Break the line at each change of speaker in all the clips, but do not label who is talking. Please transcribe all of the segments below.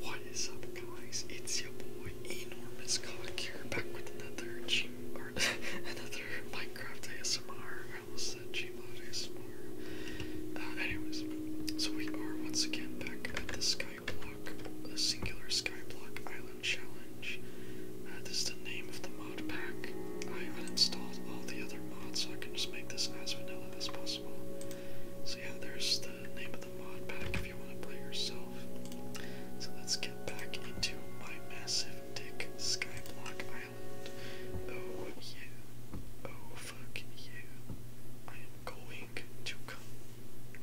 What is up guys, it's your boy Enormous Cock here back with another G another Minecraft ASMR. I will said Gmod ASMR. Uh, anyways, so we are once again back at the Skyblock, a singular Skyblock Island Challenge. Uh, this is the name of the mod pack. I uninstalled all the other mods so I can just make this as vanilla as possible. So yeah, there's the name of the mod pack if you want to play yourself. So let's get back into my massive dick skyblock island. Oh yeah. Oh fuck yeah. I am going to come.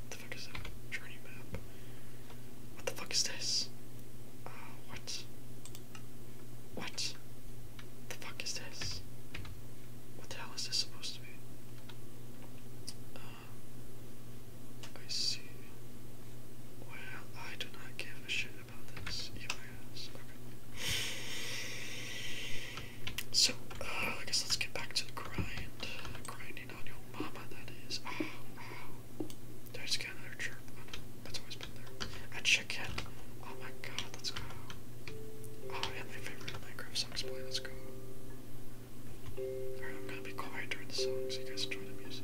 What the fuck is that? Journey map. What the fuck is this? Uh, what? What? The fuck is this? What the hell is this supposed um, I see. Well, I do not give a shit about this. So, uh, I guess let's get back to the grind. Grinding on your mama, that is. Oh, Ow, another chirp? that's always been there. A chicken. Oh my god, let's go. Oh. oh, and my favorite Minecraft song's playlist let's go. Alright, I'm gonna be quiet during the song so you guys enjoy the music.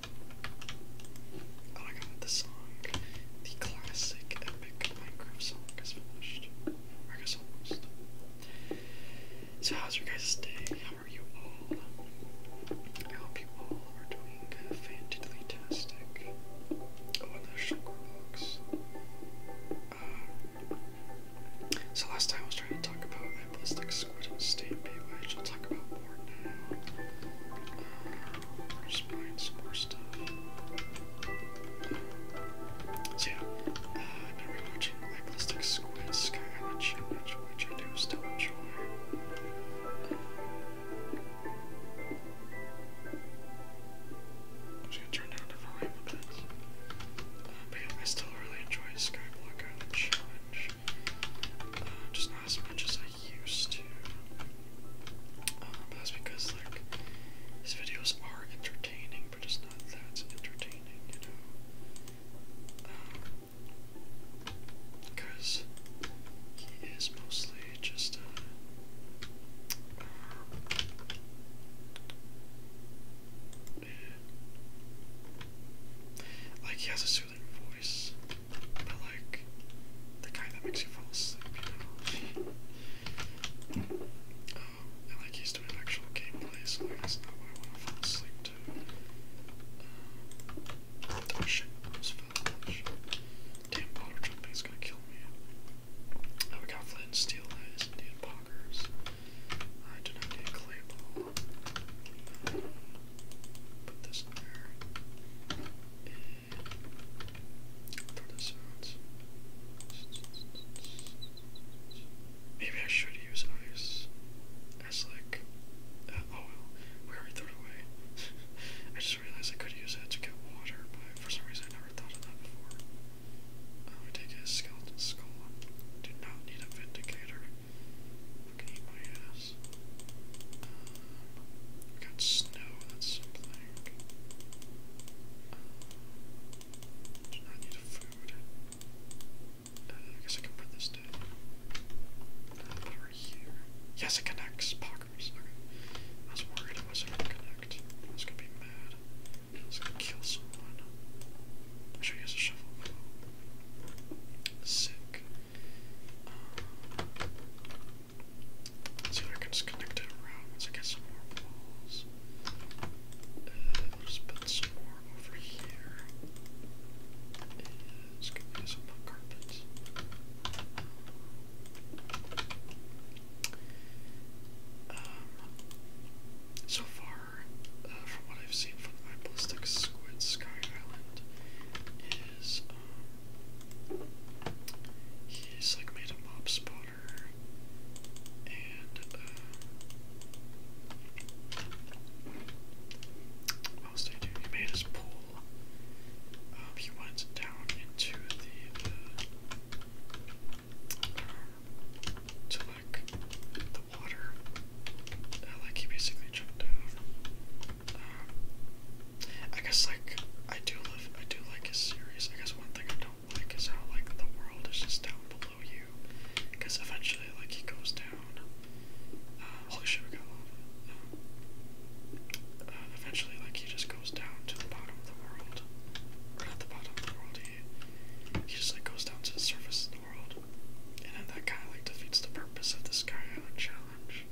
Oh my god, the song, the classic epic Minecraft song is finished. I guess almost. So how's your guys' day? How are you all? I hope you all are doing fantastic. Oh, the sugar box. so last time I was trying to talk about my is state Baywatch. I'll talk about more now. just buying some more stuff. yeah, uh, I've Squid Sky Challenge, which I do still enjoy. i turn down the volume a bit. I still really enjoy Skyblock Challenge uh, just not as much as I used to. Um, that's because like these videos are entertaining, but it's not that entertaining, you know. Um, because he is mostly just uh, uh yeah. like he has a but like the kind that makes you fall asleep, you um, like he's doing actual gameplay, so that's not what I want to fall asleep to. Um, oh, Damn, bottle jumping is gonna kill me. Oh, we got flint and steel knives, Indian poggers. I do not need a clay ball put this there. And for the Maybe I should use ice as like uh, oh well, we already threw it away. I just realized I could use it to get water, but for some reason I never thought of that before. Uh, we take his skeleton skull. Do not need a vindicator. Can my ass. got snow, that's something. Um, do not need food. Uh, I guess I can put this down. Uh, here. Yes, it connects. Pockers. Okay. I was worried it wasn't gonna connect. I gonna be mad. I gonna kill someone. I should use a shovel. Sick see if I can just connect it around once I get some more walls. Uh, let's put some more over here. let's get some more carpets. Um, so far, uh, from what I've seen from my ballistic squid Sky Island, is He's like made a mob spotter and what else did he do? He made his pool. Um, he went down into the uh, to like the water. like he basically jumped down I guess like I do live, I do like his series. I guess one thing I don't like is how like the world is just down below you, because eventually like he goes down. Uh, holy shit, we got lava. Um, uh, eventually, like he just goes down to the bottom of the world, not the bottom of the world. He he just like goes down to the surface of the world, and then that kind of like defeats the purpose of this guy uh, challenge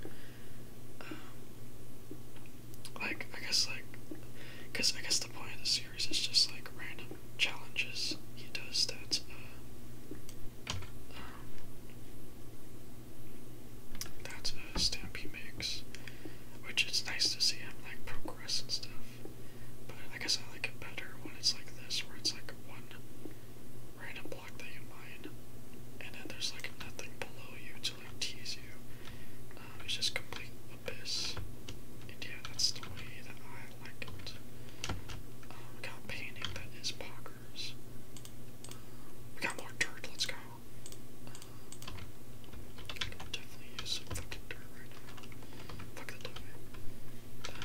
like I guess like, cause I guess the point of the series is just like random challenges he does that. Uh, um, that's a uh, stamp he makes, which is nice to see him like progress and stuff. But I guess I like it better when it's like this, where it's like one random block that you mine, and then there's like nothing below you to like tease you. Um, it's just complete abyss. And yeah, that's the way that I like it. Um, we got painting that is poggers. Um, we got more dirt, let's go. definitely use some fucking dirt right now. Fuck the dirt.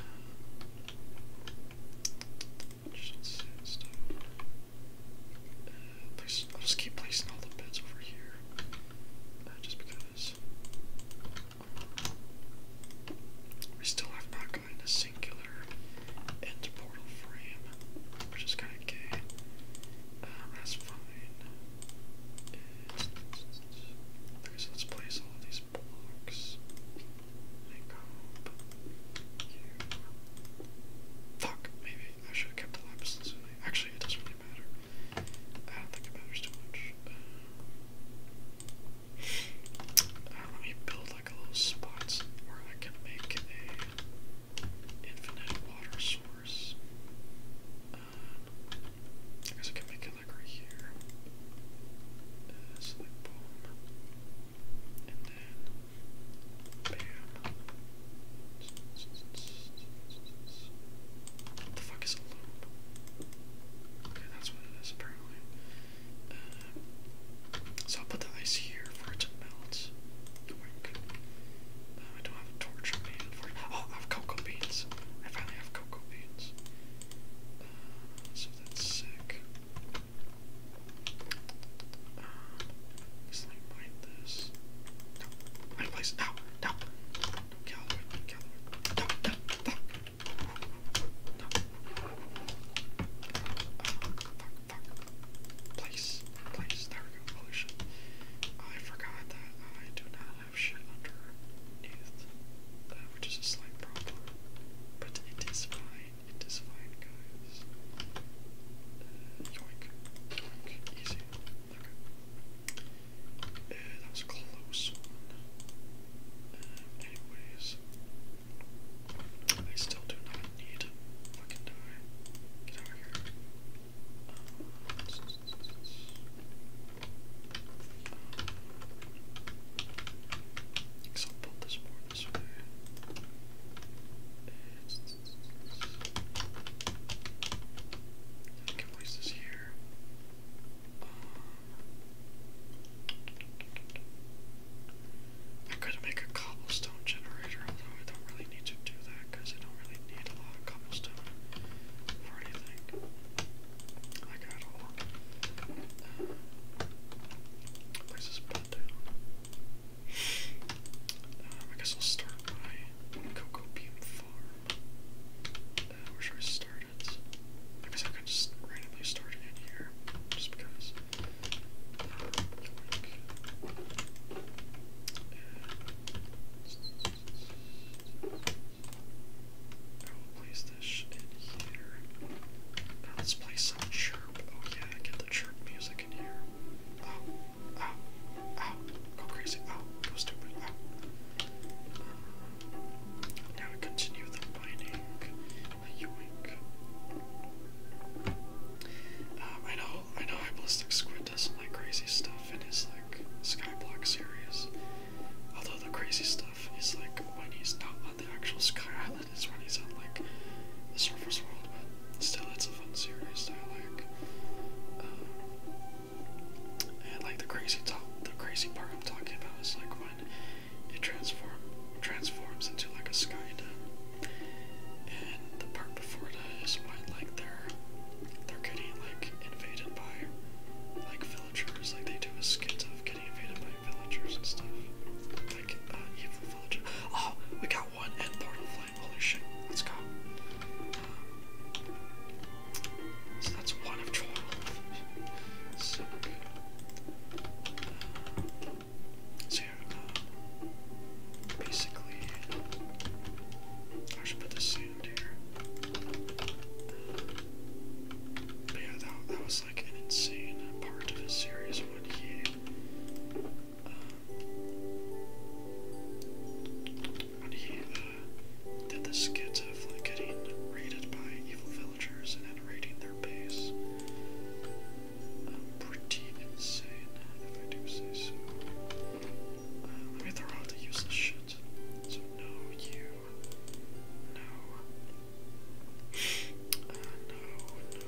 I'll just keep placing all the beds over here. Uh, just because. We still have not gotten a singular end portal frame, which is kind of um, that's fine. let's place all these blocks. Fuck, maybe I should have kept the lapis Actually, it doesn't really matter. I don't think it matters too much. Uh, let me build like a little spot where I can make a infinite water source. Uh, I guess I can make it like right here. Uh, so and then, bam. What the fuck is a loop? Okay, that's what it is, apparently. Uh, so I'll put the ice here for it to melt. Quick. Uh, I don't have a torch on me, Oh, I have cocoa beans. I finally have cocoa beans. Uh, so that's sick. Uh, guess this. place. No, no. Place, place. There I forgot that I do not have shit underneath, uh, which is a slight problem, but it is fine. It is fine, guys. Uh, yoink. Yoink. Easy. that was close anyways. I still do not need fucking die. Get this more I can place this could make a cobblestone generator, although I don't really need to do that because I don't really need a lot of cobblestone for anything. I got all. Uh, place this pot um, I guess I'll start by Cocoa Bean Farm. Uh, where should I start it? I guess I could just randomly start it in here, just because. Um, I will here. Uh, let's play some chirp. Oh yeah, get the chirp music I can hear. Ow, ow, ow, go crazy, ow, oh, go stupid, ow. Oh. Now we continue the mining, a yoink. Um, I know, I know Hyballistic Squid does some like crazy stuff in his like Skyblock series. Although the crazy stuff is like when he's not on the actual sky Island is he's on like the surface world, but still, it's a fun series that I like. Um, and like the crazy talk, the crazy part I'm talking about is like when it transform transforms into like a sky And the part before that is when like they're they're getting like invaded by like villagers, like they do a skit of getting invaded by villagers and stuff. Oh, we got one and portal flame. Holy let's go. Um, so that's one of twelve. So good. Uh, uh, basically, I should put the sand here. Uh, yeah, that, was like an insane part of his series when he he did the skit of like getting raided by evil villagers and then raiding their base. pretty insane, if I do say so. Uh, let me throw out the useless shit. So no, you, no, uh, no, no.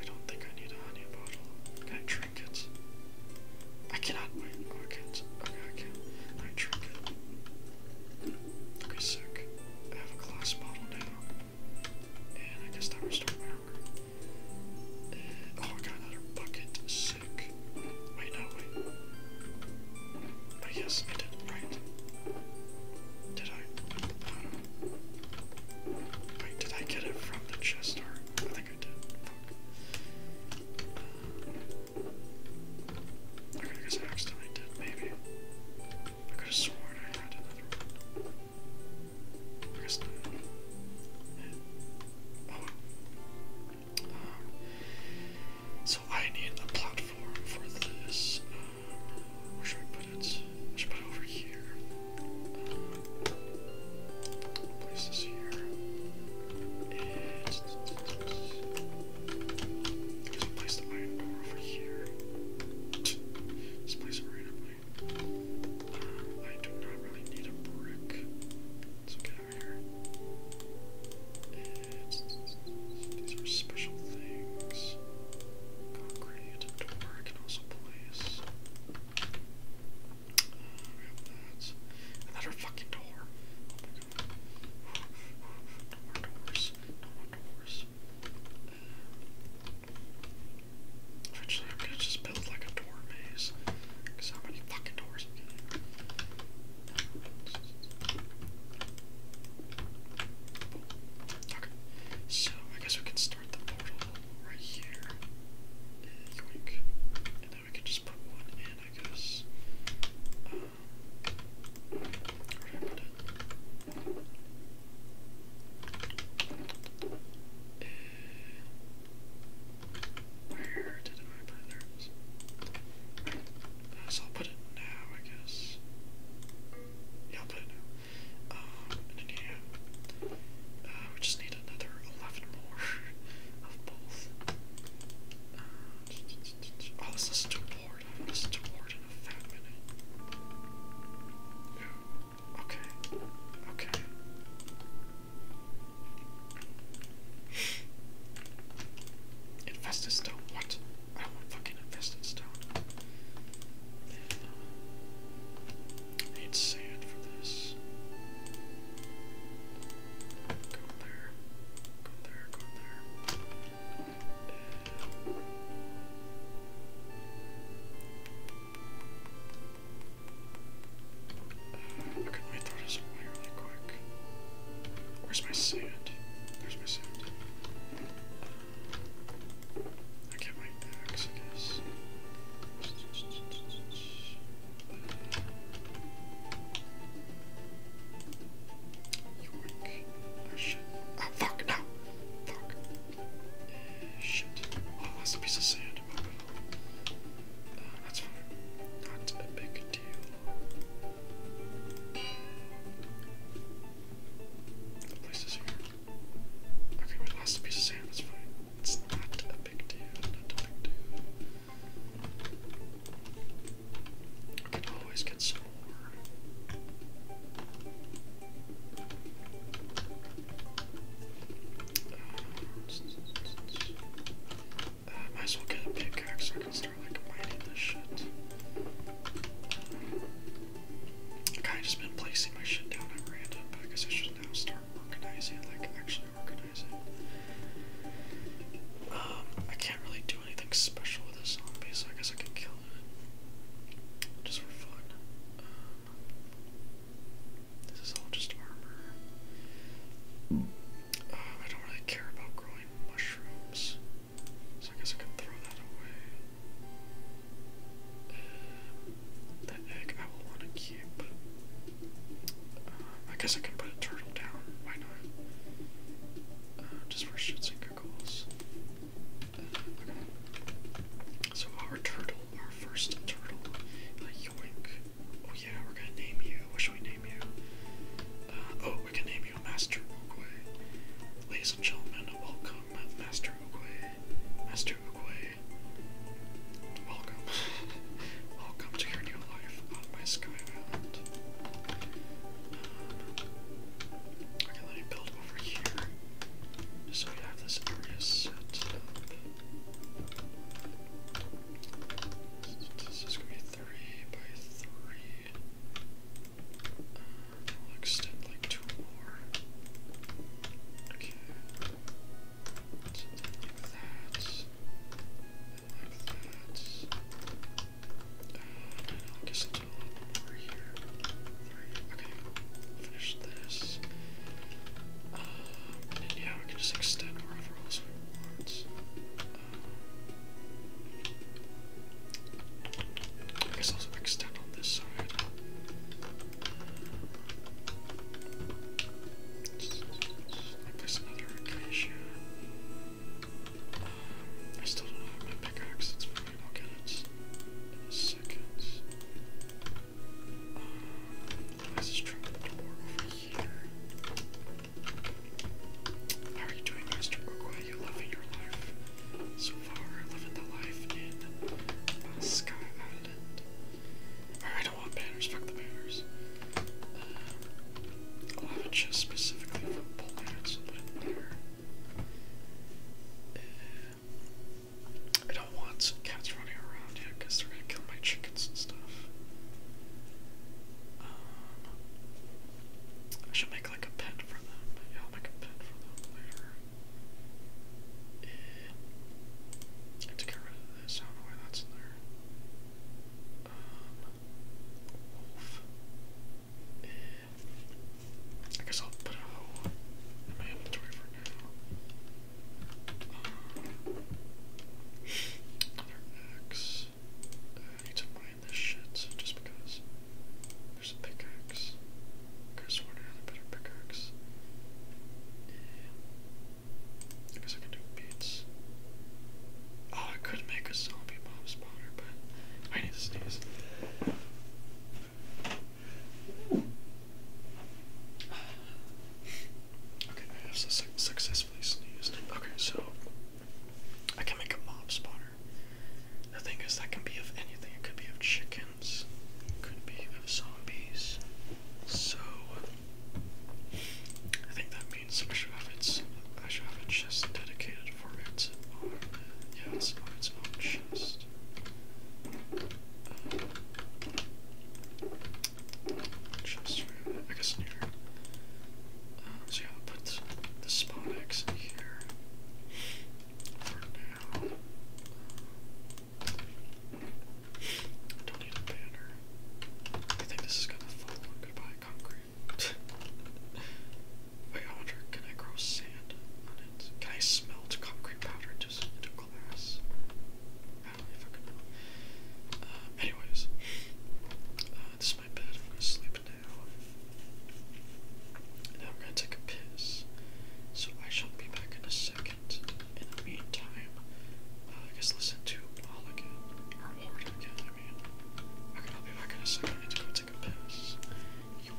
I don't think I need a honey bottle. Can I drink it? I cannot wait. Oh, I can't. Okay, can. I drink it. Okay, sick. I have a glass bottle now. And I guess that restores my hunger. oh, I got another bucket. Sick. Wait, no, wait. But oh, yes, I did, right? Did I? Wait, did I get it from the chest or I think I did. Uh, okay, I guess I accidentally did, maybe. I could have sworn I had another one. I guess not. Oh. Um, so I need a platform for this. Uh, where should I put it? I put it over here. Uh, place this here. And I place the iron door over here. Just place it randomly. Um, I do not really need a brick. So get over here. these are special things. Concrete. Another uh, fucking door. No more doors. No more doors. eventually I'm gonna just build like a door maze. Cause many fucking doors Okay, so I guess we can start the portal right here. And then we can just put one in, I guess. where uh, did I put it? so I'll put it now, I guess. Yeah, we um, just need another 11 more of both. Um, oh, this is too hard. Ward. I haven't in a minute. Ooh, okay, okay. Infestus stone, what? Uh, I want fucking infested stone. need sand for this. Go there. Go there, go there. Uh, uh, okay, let me really quick. Where's my sand? There's my sand. I can't write the axe, I guess. Oh, oh fuck, no! Fuck. Eh, shit. Oh, that's piece of sand. Uh, that's fine. Not a big deal. The place is here. Okay, we lost a piece of sand, it's fine. It's not a big deal, not a big deal. We can always get some more. Uh, might as well get a pickaxe I can start like mining this shit. I've kind of just been placing my shit down at random, but I guess I should now start organizing, like actually organizing. Um, I can't really do anything special with this zombie, so I guess I can kill it. Just for fun. Um, this is all just armor. Um, I don't really care about growing mushrooms. I guess I can throw that away. The egg I will want to keep. Uh, I guess I can put a turtle down. Why not? Uh, just for shits and giggles. Uh, okay. So our turtle, our first turtle, yoink. Oh yeah, we're gonna name you. What should we name you? oh, we can name you Master Oogway. Ladies and gentlemen, welcome Master Oogway Master Oogway. Welcome. Welcome to your new life on my sky island. Um, let me build over here. So we have this area set up. This is gonna be three by three we extend like two more. Okay. Something like that. And like that. I guess I'll do here. Okay. Finish this. yeah, we can just extend wherever else we want. I guess I'll extend on this side. Let's, let's place acacia. I still don't have my pickaxe, that's fine, I'll get it in let's just try the door over here. How are you doing, Mr. Ogway? You loving your life? so far, living the life in uh, Sky Island. I don't want banners, fuck the banners. Uh, I'll have a chest specifically for banners, so uh, I don't want cats running around here because they're gonna kill my chickens and stuff. Um, I should make like a pet for them. Yeah, I'll make a pet for them later. I have to get rid of this. I don't know why that's in there. wolf. Um, I guess I'll put a hole in my inventory for now. Um, another uh, need to mine this shit just because. There's a pickaxe. I could have sworn I had a better pickaxe. Yeah. I guess I can do beats. Oh, I could make a zombie mob spawner, but I need to sneeze. Okay, I have successfully sneezed. Okay, so I can make a mob spawner. The thing is, that can be of anything. It could be of chickens, it could be of zombies. So, I think that means I should have its. I should have a chest dedicated for its own. Yeah, it's on its own chest. chest uh, I guess in here. Um, uh, so i put the spawn eggs in here. I don't need a banner. I think this is gonna fall on goodbye concrete. Wait, I can I grow sand on it? Can I smelt concrete powder into glass? I don't know if know. Uh, anyways, uh, this is my bed. I'm gonna sleep now. Now I'm gonna take a piss. So I shall be back in a second. In the meantime, uh, I guess listen to all again. Or oh, again, I mean. Okay, I'll be back in a second. I go take a piss. York.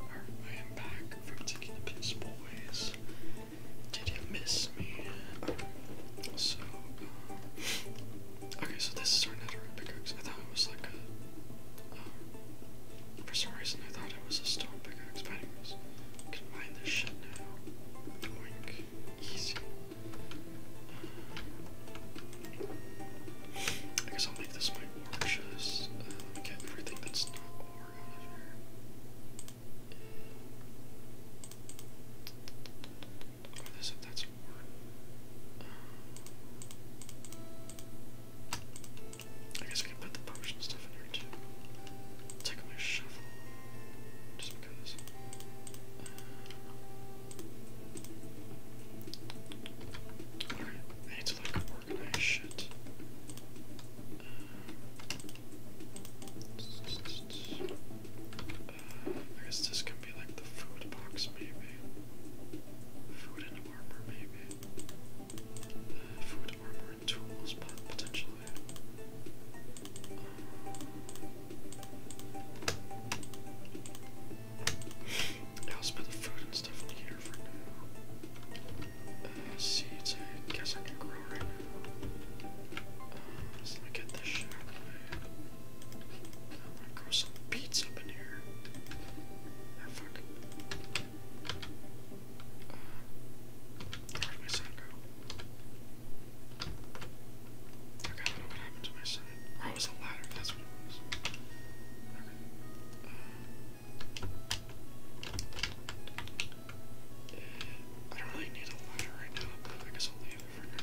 I am back from taking the piss, boys. Did you miss me? Okay. So, okay, so this is our netherite pickaxe. I thought it was like a. for some reason, I thought it was a stone pickaxe. I can mine this shit now. Doink. Easy. I guess I'll make this my Orcas. Uh, um, everything that's not or however. Oh, this that's or. Um, I guess we can put the potion stuff in here too. Take my shovel, just because. Uh, alright, I guess this can be like the food box, maybe. Food and armor, maybe. food, armor, and tools, potentially. Um, I put the food uh, seeds, I guess I can grow right now. let me get this shit I'm gonna grow some beets up in here. Ah, uh, where'd my son go? I got to know what happened to my son. Oh, was a ladder, that's what it was. Uh, I don't really need a ladder right now, but I guess I'll leave it for now.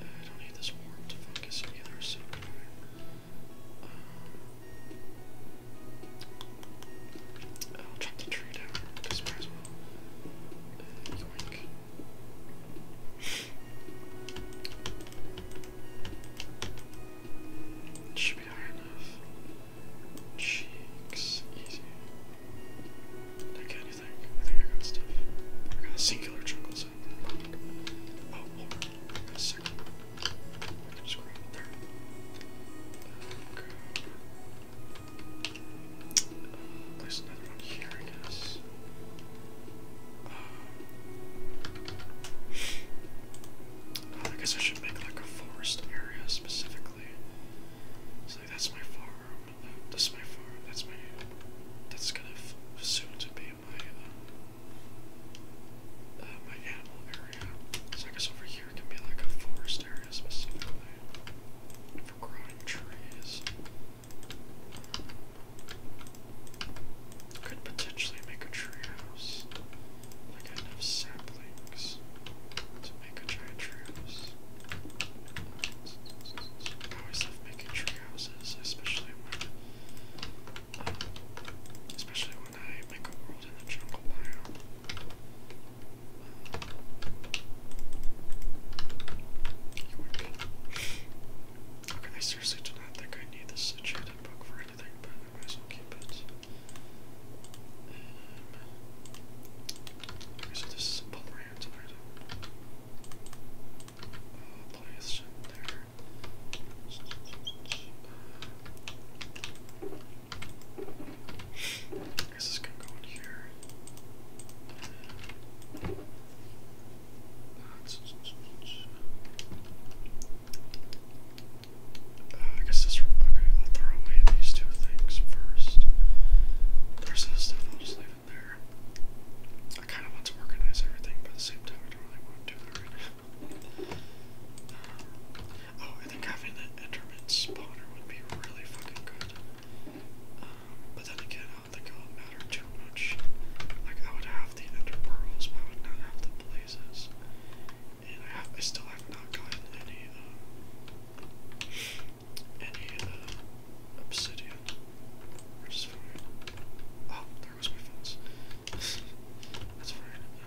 I don't need this worm to focus either, so I? Um, will chop the tree down, because as well should be high enough. Cheeks, easy. Like anything. I think I got stuff. I got singular jungle Oh, I got a second I can just there. There we go. another one here, I guess. I guess I should make like a forest area specifically. So that's my farm. That's my farm. That's my. That's gonna soon to be my uh, uh, my animal area. So I guess over here can be like a forest area specifically for growing trees. Could potentially make a treehouse. I got enough saplings to make a giant treehouse. I always love making treehouses, especially when, uh, especially when I make a world in the jungle biome. Okay, I seriously do not think I need this enchanted book for anything, but uh, so this is a Polarant Horizon. Uh, Polyethylene there. Uh, I guess this can go in here. Um, I guess this. Okay, I'll throw away these two things first. The rest stuff I'll just leave it there. I kind of want to organize everything, but at the same time, I don't really want to do that um, oh, I think having the Enderman spawner would be really fucking good. Um, but then again, I don't think it would matter too much. Like, I would have the Ender Pearls, I would not have the places, and I, have, I still have not gotten any, um, any, uh, obsidian, which is fine. Oh, there goes my fence. That's fine. Uh,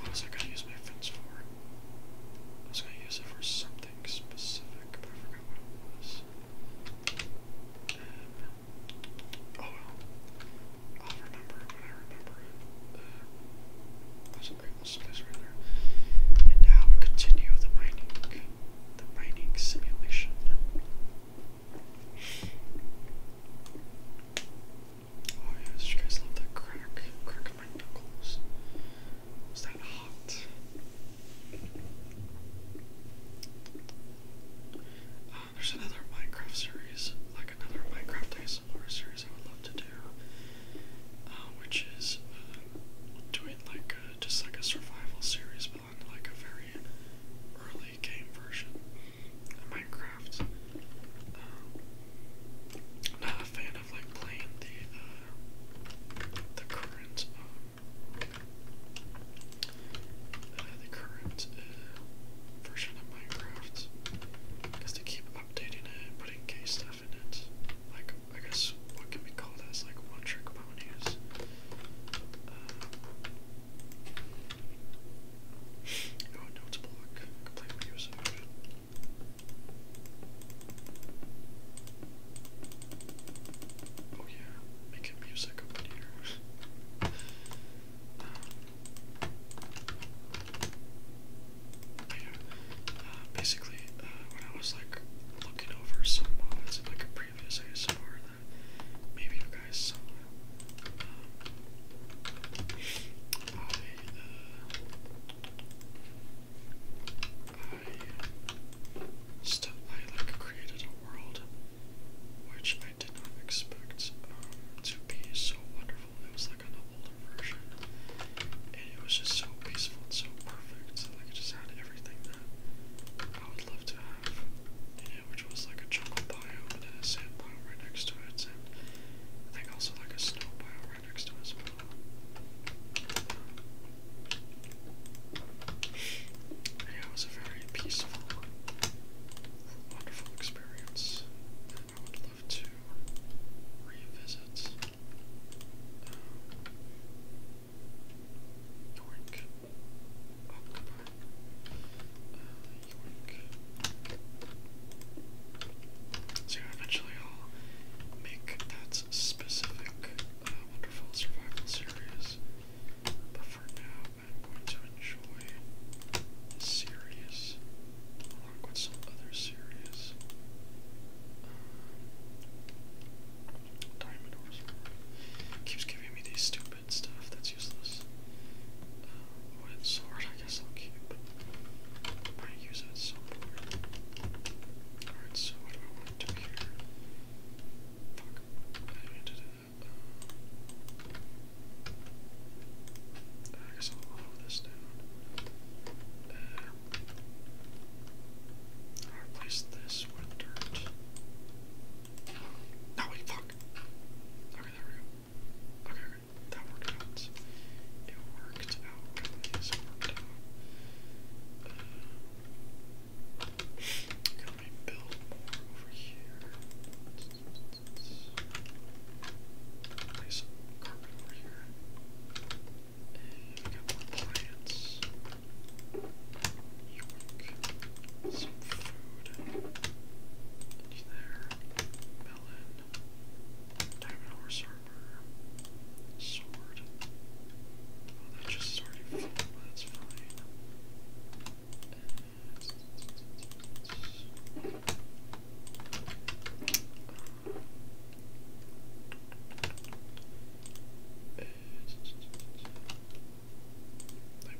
what was I gonna use my fence for? I was gonna use it for something specific, but I forgot what it was. Um, Oh I'll remember when I remember it. a great little space right there. And now we continue the mining, the mining simulation. Oh yes, you guys love that crack, crack of my knuckles. Is that hot? Uh, there's another Minecraft series, like another Minecraft ASMR series I would love to do, uh, which is uh, doing like a, just like a survival series, but on like a very early game version of Minecraft. Um, I'm not a fan of like playing the uh, the current um, uh, the current uh, version of Minecraft, they keep updating it, putting gay stuff in it. Like, I guess what can be called as like one trick ponies. Uh, oh, notes block, completely used. Oh yeah, making music over here. Um, but basically, uh, when I was like looking over some mods in like a previous ASMR that maybe you guys saw, um, I, uh, I like created a world which I did not expect um, to be so wonderful. It was like an older version, and it was just so peaceful and so perfect. Like it just had everything that I would love to have in which was like a jungle biome and a sand biome right next to it, I think also like a snow biome right next to it Yeah, it was a very peaceful, wonderful experience, and I would love to revisit um, Yoink. Uh, so eventually I'll make that specific uh, Wonderful Survival series, but for now I'm going to enjoy this series along with some other series. Um, diamond Horse keeps giving me these stupid stuff that's useless. Uh, wood I guess I'll keep. I use it at Alright, so what do I want to do here? Fuck, I guess I'll lower this down. Uh, replace this with dirt. No, wait, fuck! Okay, there we go. Okay, that worked out. It worked out, guys. worked out. Uh, can build more over here? Place some carpet over here. And we got more plants. York. Some food. In there. Melon. Diamond horse armor. Sword. Oh, that just started full, but that's fine. And I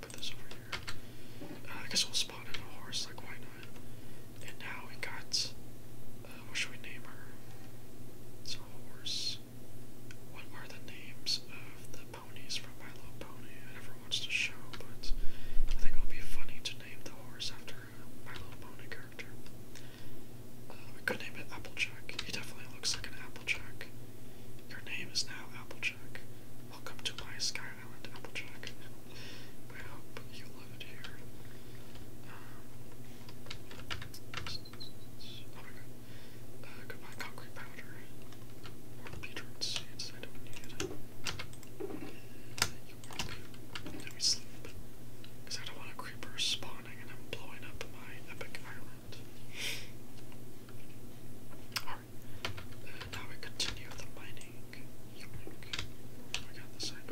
put this over here. Uh, I guess we'll spawn in a horse, like why not? And now we got uh, what should we name her? It's a horse. What are the names of the ponies from My Little Pony? I watched the show, but I think it would be funny to name the horse after my little pony character. we uh, could name it Applejack. He definitely looks like an Applejack. Your name is now Applejack. Welcome to my Sky Island, Applejack. I hope you love it here. Um, oh my god. Uh, concrete powder. Or beetroot you work sleep. Because I don't want a creeper spawning and I'm blowing up my epic island. Alright. Uh, now we continue the mining. Oh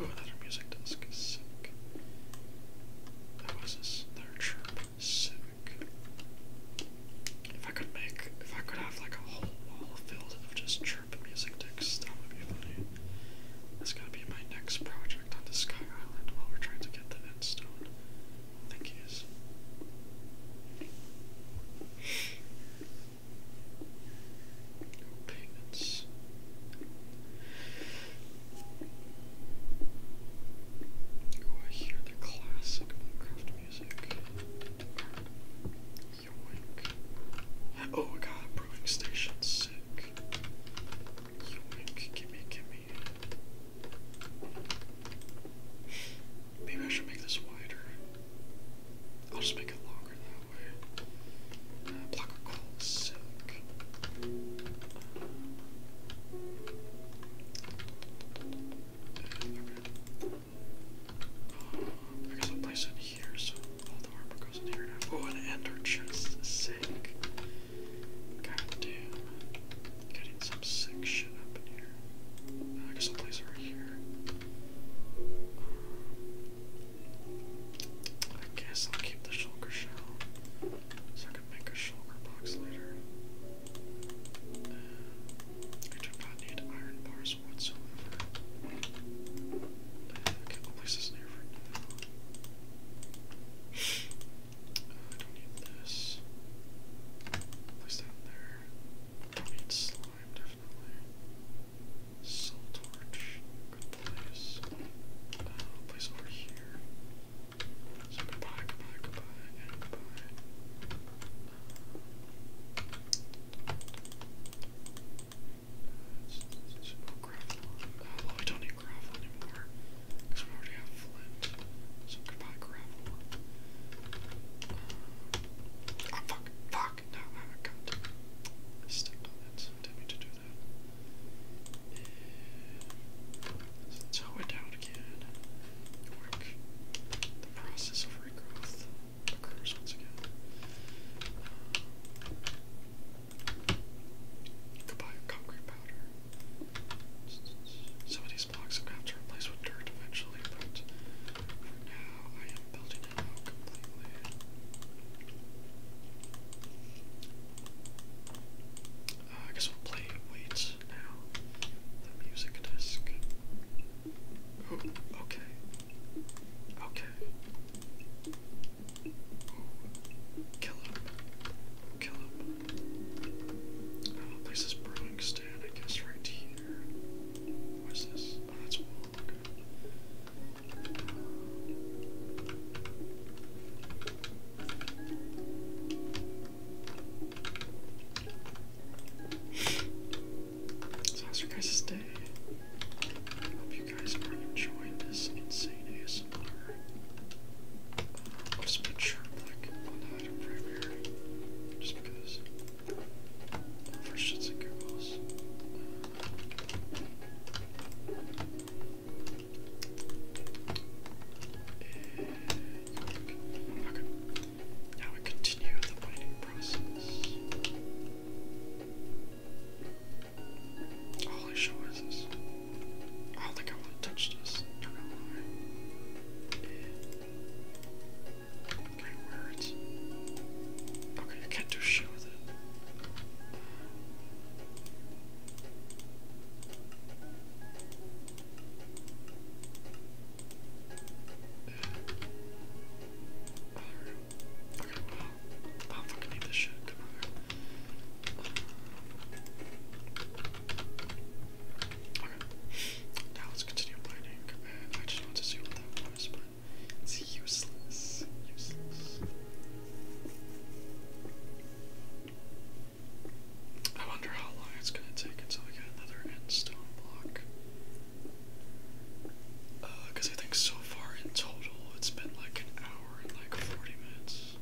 my music disc is sick. That was this. Their chirp. Sick. If I could make, if I could have like a whole wall filled of just music decks. That would be funny. That's gonna be my next project on the Sky Island while we're trying to get the end stone. I think he is. Payments. Oh, I hear the classic Minecraft music. Oh, we brewing station. Sick. Gimme, gimme. Maybe I should make this wider. I'll just make it longer that way. Uh, block Sick. Uh, I guess I'll place it here so all the armor goes in here now. Oh, and, our chest sink. sick. Getting some sick shit up in here. Uh, I guess I'll place it right here. I guess I'll keep the shulker shell so I can make a shulker box later. Uh, I do not need iron bars whatsoever. Uh, okay, I'll for I don't need this. Place that there. do need slime, definitely. Soul torch, good place. Uh, place over here. goodbye, goodbye, goodbye. That's, oh, don't need gravel anymore because we already have flint. So we gravel. Oh, fuck, fuck, no, I'm a cunt. on it, I didn't mean to do that. let's hoe it down again. The process of regrowth occurs concrete powder. Some of these blocks I'm gonna have to replace with dirt eventually, but for now I am building it out completely. Uh, I guess we'll play Wait now, the music disc okay. Okay. Kill him. Kill him. Oh, this brewing stand, I guess, right here. What's this? Oh, that's wool. Okay. So how's your guys' day? Hope you guys are enjoying this insane ASMR. Uh, i just put sharp like on the primary, just because. For shits and giggles. Now we continue the mining process. Holy show is this? I don't think I want to touch this. Okay, words. Okay, I can't do shit with it. I do fucking need now let's continue mining, I just want to see what that was, but it's useless. I wonder how long it's gonna take until we get another endstone block. Because uh, I think so far in total it's been like an hour and like 40 minutes.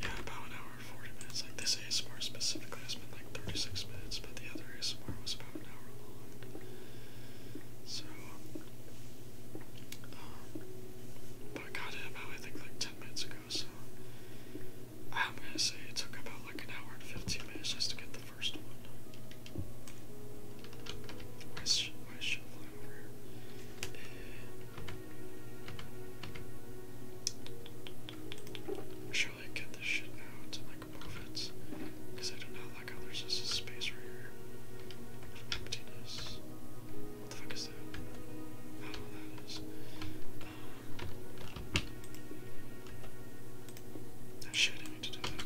Yeah, about an hour and 40 minutes. Like this ASMR specifically has been like 36 minutes, but the other ASMR was about an hour long. So, um, but I got it about I think like 10 minutes ago, so I'm gonna say it took about like an hour and 15 minutes just to get the first one. Why is, why I get this shit out like move it? Because I do not like how there's just a space right here. Emptiness. What the fuck is that? I do that is. Um, shit I do that. There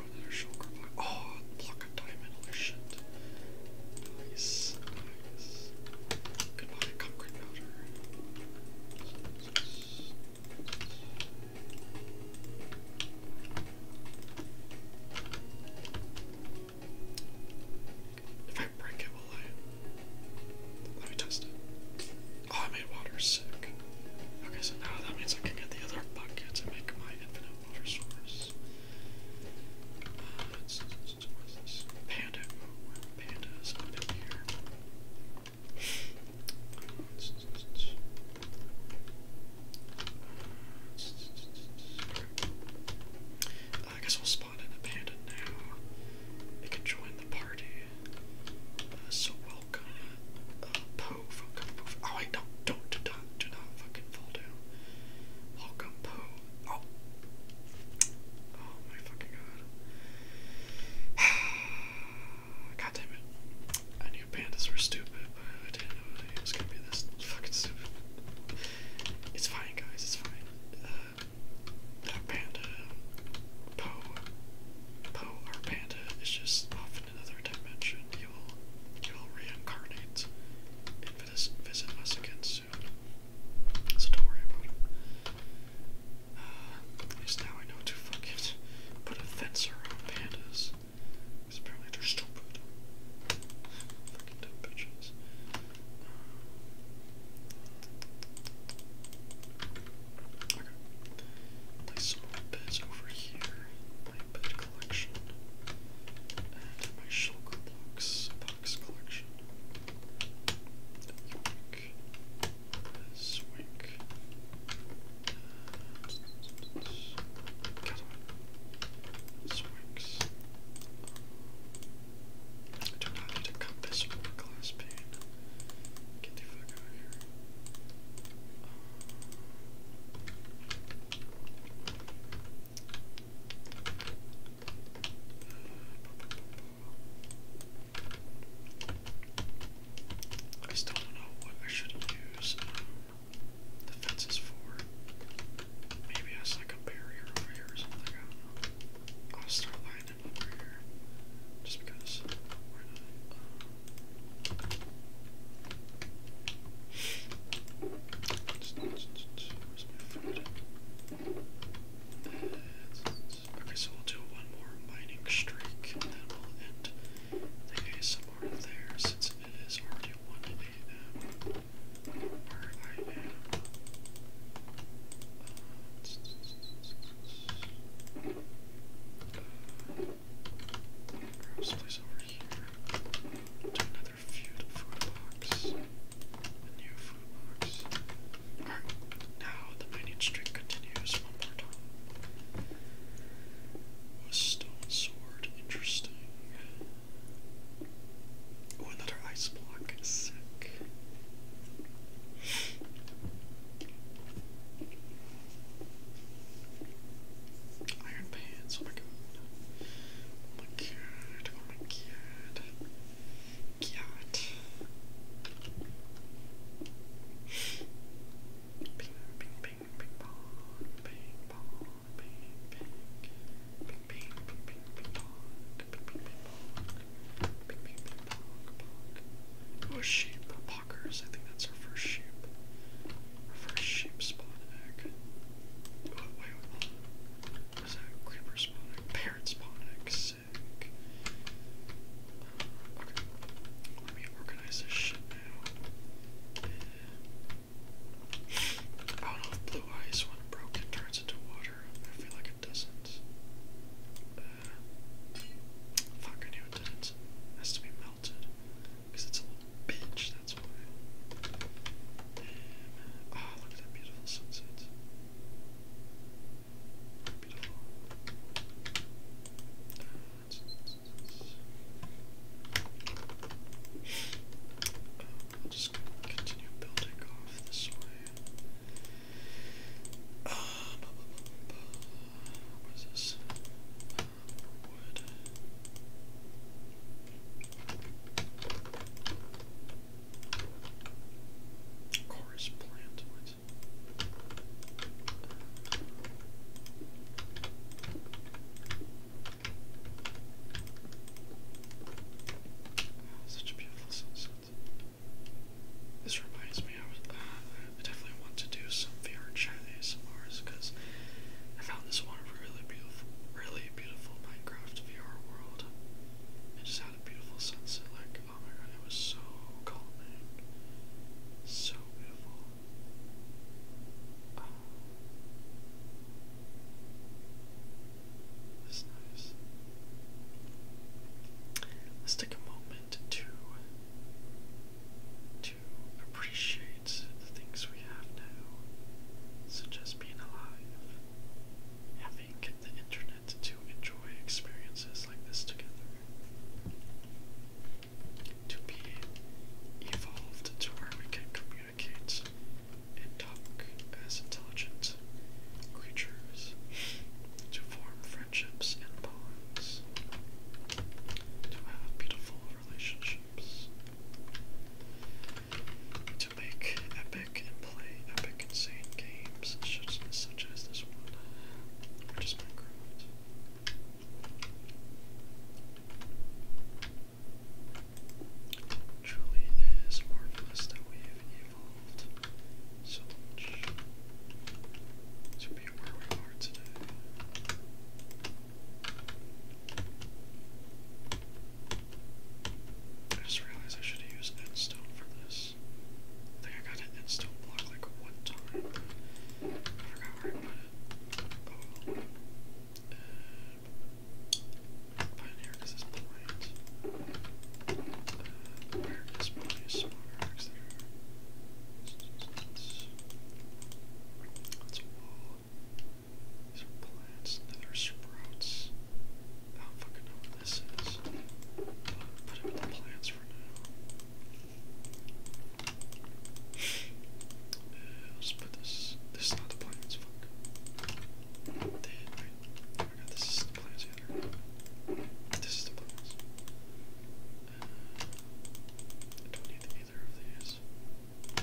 Oh, another shulker diamond. Nice, if I break it, will I? Let me test it. Oh, I made water sick. Okay, so now that means I can get the other buckets and make my infinite water source. Uh, Panda. Panda is up in here. I guess we'll spawn in a panda now. It can join the party. Uh, so welcome, uh, Poe from Kung Fu. Oh wait, no, don't, do not, do not fucking fall down. Welcome, Poe Oh. Oh my fucking god. God I knew pandas were stupid, but I didn't know it was gonna be this fucking stupid. It's fine, guys, it's fine. Uh, panda, Poe, Poe, our panda, is just off in another dimension. He will, he will reincarnate and visit us against soon. So don't worry about it. at least now I know to fucking put a fence around pandas. Because apparently they're stupid. Fucking dumb bitches. Um, okay. Place some over here. My bed collection. And my shulker blocks. Comics collection. don't cut this glass pane. Get the fuck out here. I still don't know what I should use um, the fences for. Maybe it's like a barrier over here or something. I will start lining them over here just because okay, so we'll do one more mining streak, and then we'll end the ASMR there since it is already 1 a.m. where I am. Uh, Grab place over here another food, food box. A new food box. Alright, now the mining streak continues one more time. A stone sword, interesting. Oh, another ice block, sick. Iron pants, Oh my god, oh my god. Oh God. Ping, ping, ping, I think that's our first sheep. Our first sheep spawn is that creeper spawning? Parrot spawning. Sick. Uh, okay. Let me organize this shit now. I don't know if blue ice, when broken, turns into water. I feel like it doesn't. Uh, fuck, I knew it didn't. has to be melted. Because it's a little bitch, that's why. Oh, look at that beautiful sunset. Beautiful. I'll just continue building off this way. Um, what is this? Um, Chorus oh, such a beautiful sunset. This reminds me, I, was, uh, definitely want to do some VR chat Mars, because I found this one really beautiful, really beautiful Minecraft VR world. It just had a beautiful sunset. Like, oh my god, it was so calming. So beautiful. Oh. nice. Let's take a moment to to appreciate the things we have now, such as being alive, having the internet to enjoy experiences like this together. To be evolved to where we can communicate and talk as intelligent creatures, to form friendships and bonds, to have beautiful relationships make epic and play epic insane games such, as this one, which is marvelous that we have evolved so much to be where we are today. I just realized I should have used stone for this. I think I got an endstone block like one time. I forgot where it. Oh well. here because it's blind. Uh, where is my smaller axe That's a wall. These are plants, nether sprouts. I don't fucking know what this is. Put him in the plants for now. Uh, let's put this. This is not the plants. Fuck. They, right? Oh my god, this is the plants. Yeah, this is the plants. Uh, I don't need either of these. Uh,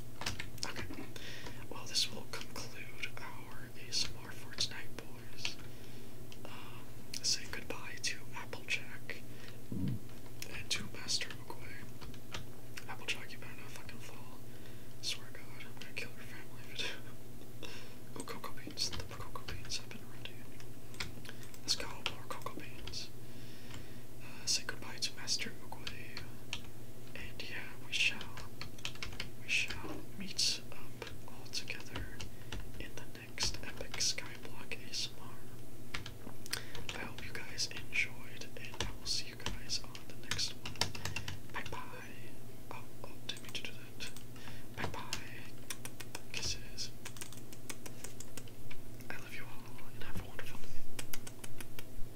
Okay. Well, this will conclude our ASMR for tonight, boys. Um, say goodbye to Applejack and to Master McQuay. Applejack, you better not fucking fall. swear to God, I'm gonna kill your family if you cocoa beans. The cocoa beans have been ready. Let's go, more cocoa beans. Uh, say goodbye guides Master Oogway. And yeah, we shall we shall meet up all together in the next epic skyblock ASMR. I hope you guys enjoyed and I will see you guys on the next one. Bye bye. Oh oh not mean to do that. Bye bye. Kisses. I love you all and have a wonderful day.